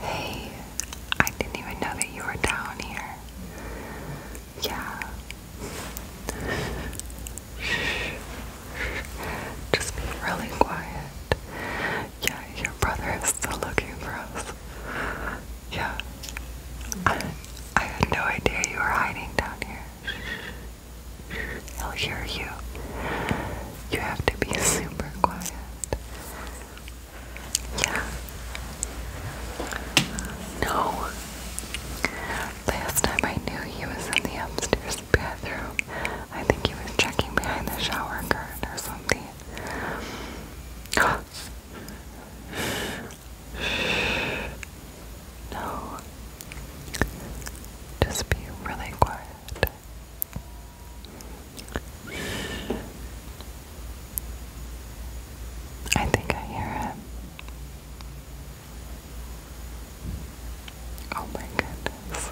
Hey, I didn't even know that you were down here. Yeah. Just be really quiet. Yeah, your brother is still looking for us. Yeah. I had no idea you were hiding down here. He'll hear you. You have to be super quiet. Yeah. No. Last time I knew he was in the upstairs bathroom. I think he was checking behind the shower curtain or something. no. Just be really quiet. I think I hear it. Oh my goodness.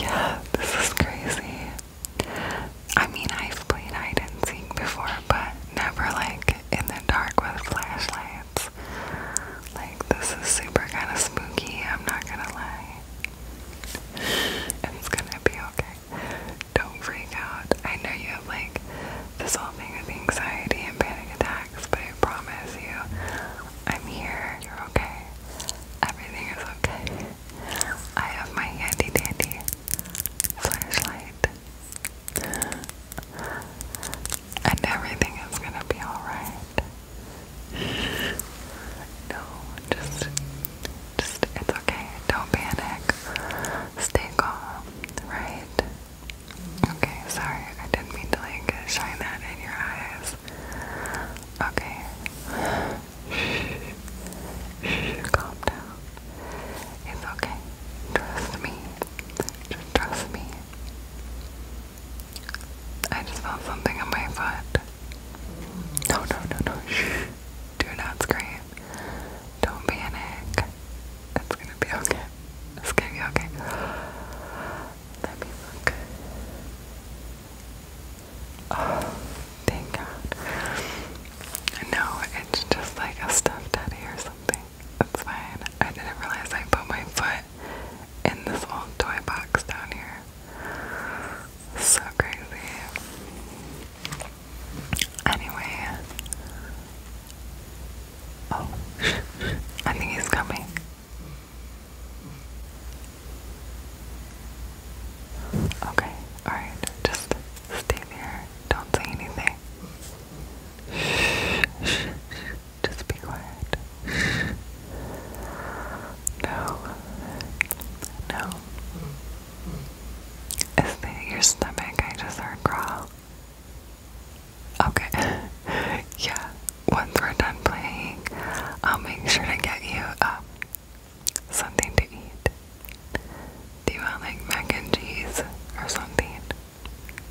Yeah, this is crazy. I mean, I've played hide and seek before, but never like in the dark with flashlights this. Like, this is super kind of spooky, I'm not gonna lie. It's gonna be okay. Don't freak out. I know you have, like, this whole thing with anxiety and panic attacks, but I promise you, I'm here. You're okay. Everything is okay. I have my handy dandy flashlight. And everything is gonna be alright. No, just, just, it's okay. Don't panic. Stay calm, right? Okay, sorry. I didn't mean to, like, shine that in your eyes. Okay. Shh. Shh. Calm down. It's okay. Trust me. trust me. I just felt something on my foot. No, no, no, no. Shh. Do not scream. Don't panic. It's gonna be okay. It's gonna be okay. Let me look. Oh, thank God. No, it's just like a stuffed teddy or something. That's fine. I didn't realize I put my foot in this old toy box down here. So crazy. Anyway. Oh, I think he's coming. Okay, alright, just stay there. Don't say anything. Just be quiet. No. No. Is that your stomach? I just heard growl. Okay. yeah. Once we're done playing, I'll make sure to get you uh, something to eat. Do you want like mac and cheese or something?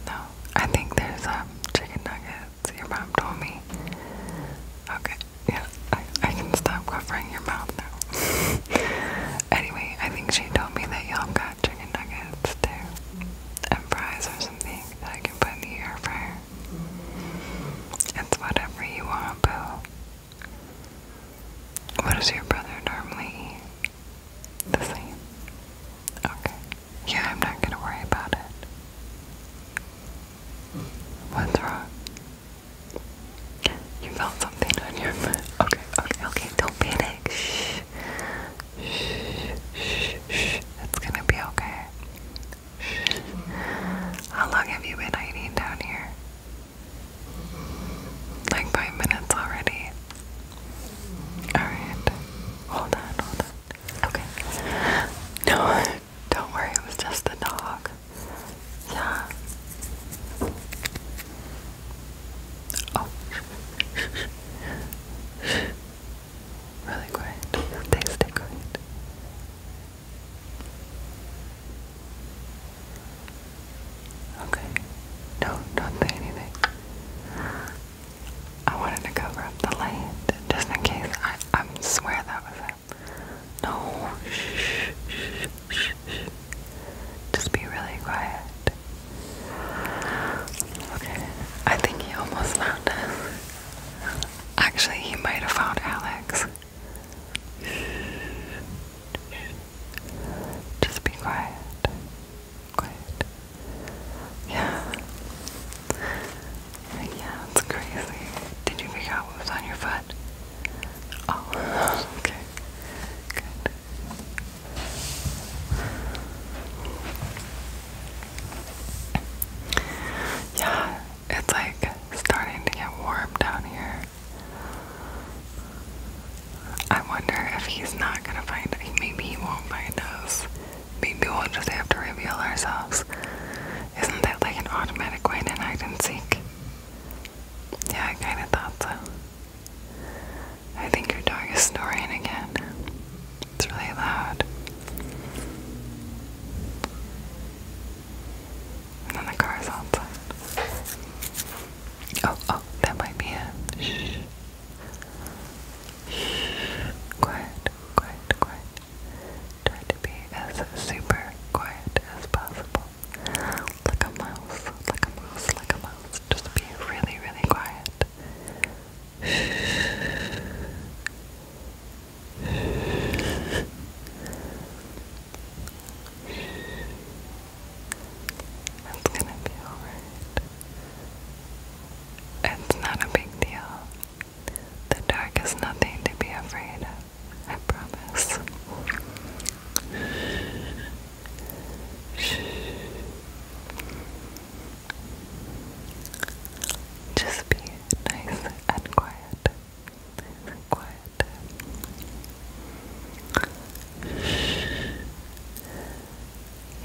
No, I think there's a um, chicken nuggets. Your mom told me. Okay, yeah, I can stop covering your mouth now. anyway, I think she told me that y'all got chicken nuggets too, and fries or something that I can put in the air fryer. It's whatever you want, boo. What does your brother normally eat? The same. Okay. Yeah, I'm not gonna worry about it. What's wrong? You felt something on your Okay, okay, okay. Don't panic. Shh. Shh. Shh. Shh. It's gonna be okay. Shh. How long have you been hiding down here? Like five minutes already. Alright. Hold on, hold on. Okay. No, don't worry, it was just the dog. Yeah. Oh. really quiet. Thanks, stay quiet. Okay. Don't don't say anything. I wanted to cover up the light just in case. I I swear that was him. No. Shh, shh, shh, shh. Just be really quiet. Okay. I think he almost found us. Actually, he might have found Alex. Just be quiet. Yeah. Yeah, it's crazy. Did you figure out what was on your foot? Oh, okay. Good. Yeah, it's like starting to get warm down here. I wonder if he's not gonna find us. Maybe he won't find us. Maybe we'll just have to reveal ourselves. Isn't that like an automatic way to hide and seek? Yeah, I kinda thought so. I think your dog is snoring again. It's really loud. And then the car's outside. Oh, oh, that might be it. Shh. Quiet, quiet, quiet. Try to be as super quiet as possible. Like a mouse, like a mouse, like a mouse. Just be really, really quiet. Shh. It's gonna be alright. It's not a big deal. The dark is nothing to be afraid of. I promise. Just be nice and quiet. Quiet.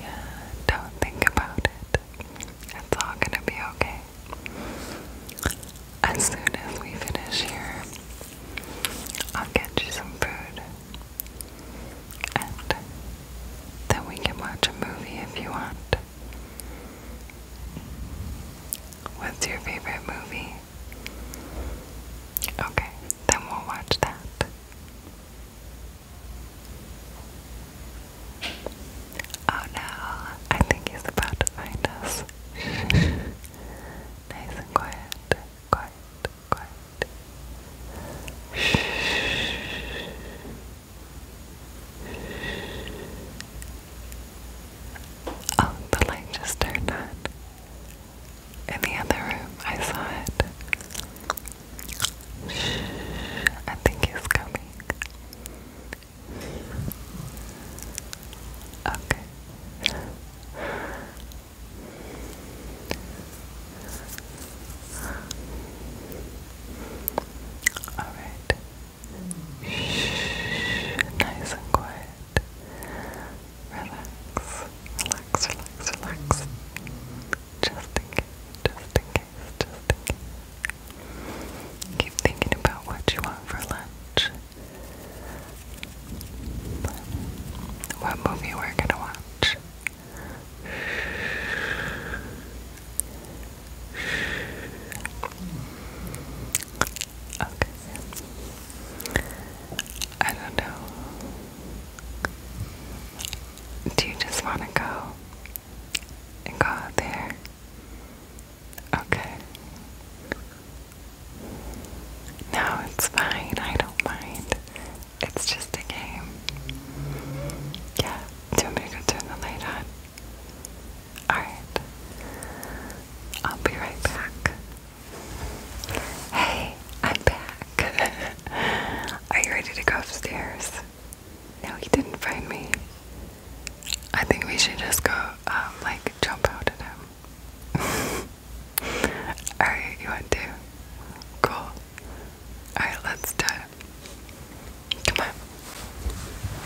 Yeah, don't think about it. It's all gonna be okay. As soon as we finish here, I'll get you some food. And then we can watch a movie if you want. What's your favorite movie? Okay, then we'll watch that. Oh no, I think he's about to find us. nice and quiet, quiet, quiet. Oh, the light just turned on. In the other room, I saw it. Shh, I think he's coming. Okay. Alright. Shh, nice and quiet. Relax, relax, relax, relax. Just in case, just in case, just in case. Keep thinking about what you want for lunch. What movie we're gonna watch. Okay. I don't know. Do you just want to go and go out there? Okay. No, it's fine. I don't mind. It's just a game. Yeah. Do you want me to turn the light on? Alright. I'll be right back. Hey, I'm back. Are you ready to go upstairs? No, he didn't find me. I think we should just go, um, like, jump out at him. Alright, you want to? Cool. Alright, let's do it. Come on.